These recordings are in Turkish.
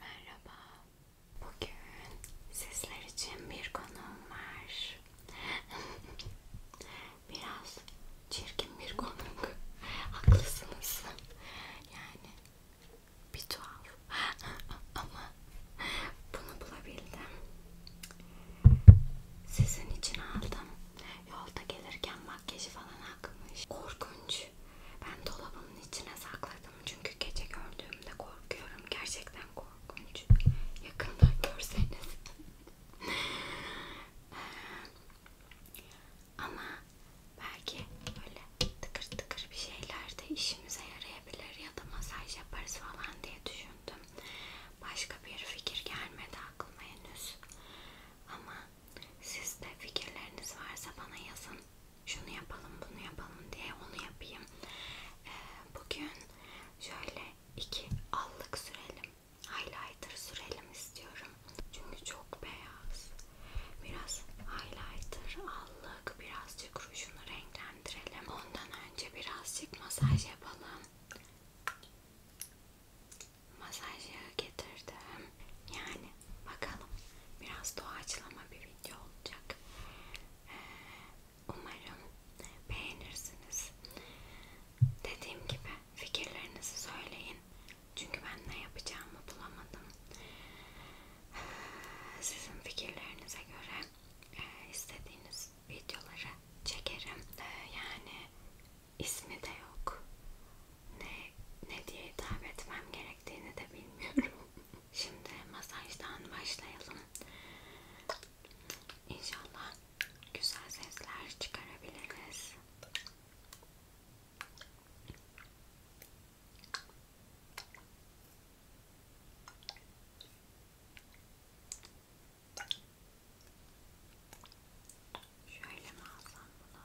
Merhaba. Bugün sizler için bir konuğum var. biraz çirkin bir konuk. Haklısınız. Yani bir tuhaf. Ama bunu bulabildim. Sizin için aldım. Yolda gelirken makyajı falan akmış. Korkunç. Ben dolabımın içine sakladım. Çünkü gece gördüğümde korkuyorum. Gerçekten korkunç. Yakından görseniz. Ama belki böyle tıkır tıkır bir şeyler de işimize yarayabilir ya da masaj yaparız falan diye düşündüm. Başka bir fikir gelmedi aklıma henüz. ama sizde fikirleriniz varsa bana yazın. Şunu yapalım, bunu yapalım diye onu yapayım. Ee, bugün şöyle iki allık sürelim highlighter sürelim istiyorum. Çünkü çok beyaz. Biraz highlighter aldık. Birazcık rujunu renklendirelim. Ondan önce birazcık masaj yapalım. Masaj yağı getirdim. Yani bakalım. Biraz doğaçlama bir video olacak. Ee, umarım beğenirsiniz. Dediğim gibi fikirlerinizi söyleyin. Çünkü ben ne yapacağımı bulamadım. Sizin fikirlerinize göre istediğiniz videoları çekerim. Yani ismi de yok. Ne ne diye hitap etmem gerektiğini de bilmiyorum. Şimdi masajdan başlayalım. İnşallah güzel sesler çıkarabiliriz. Şöyle mi alsam bunu?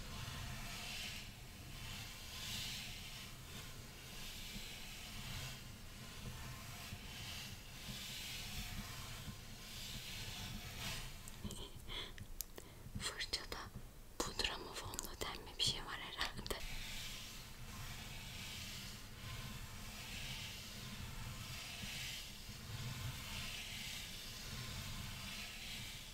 Fırçada pudra mı fondöten mi bir şey var herhalde.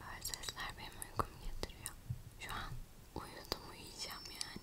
Böyle sesler benim uykumu getiriyor. Şu an uyudum uyuyacağım yani.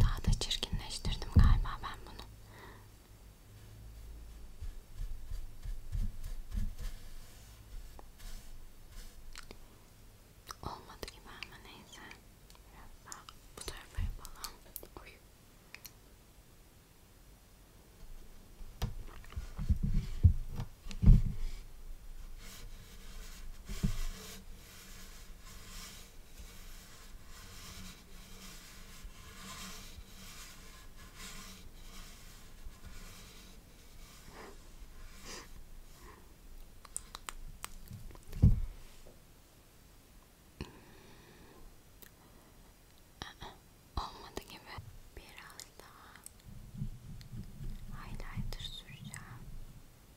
Daha da çirkinleştirdim galiba ben bunu. Olmadı gibi ama neyse. Biraz daha bu tarafa yapalım. Oy. Olmadı gibi biraz daha highlighter süreceğim.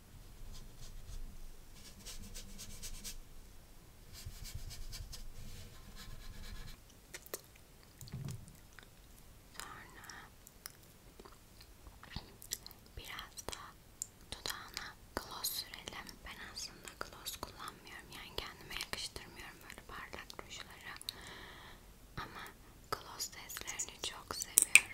Sonra biraz da dudağına gloss sürelim. Ben aslında gloss kullanmıyorum. Yani kendime yakıştırmıyorum böyle parlak rujları. Ama gloss seslerini çok seviyorum.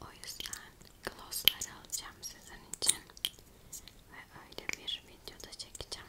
O yüzden glossları alacağım sizin için ve öyle bir videoda çekeceğim.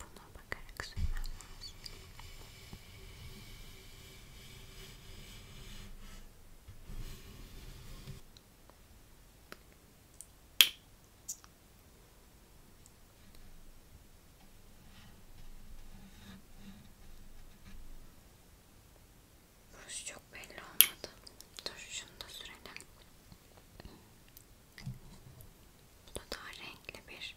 Buna bakarak sürmem lazım. Burası çok belli olmadı. Dur şunu da sürelim. Bu da daha renkli bir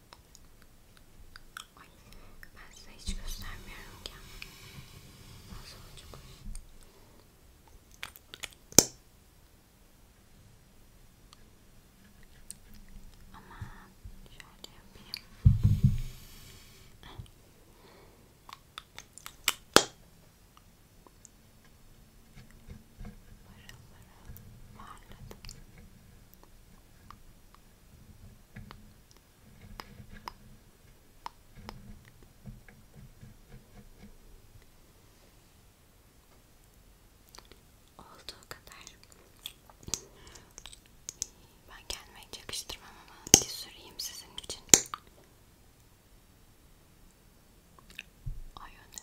Ay, ben size hiç göstermiyorum ki. Nasıl olacak? Ama şöyle yapayım. Parılları parladı. Ay Olduğu kadar. Ben kendime hiç yakıştırmam ama bir süreyim sizin için. Ay öyle.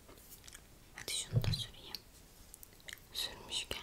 Hadi şunu da süreyim. Sürmüşken.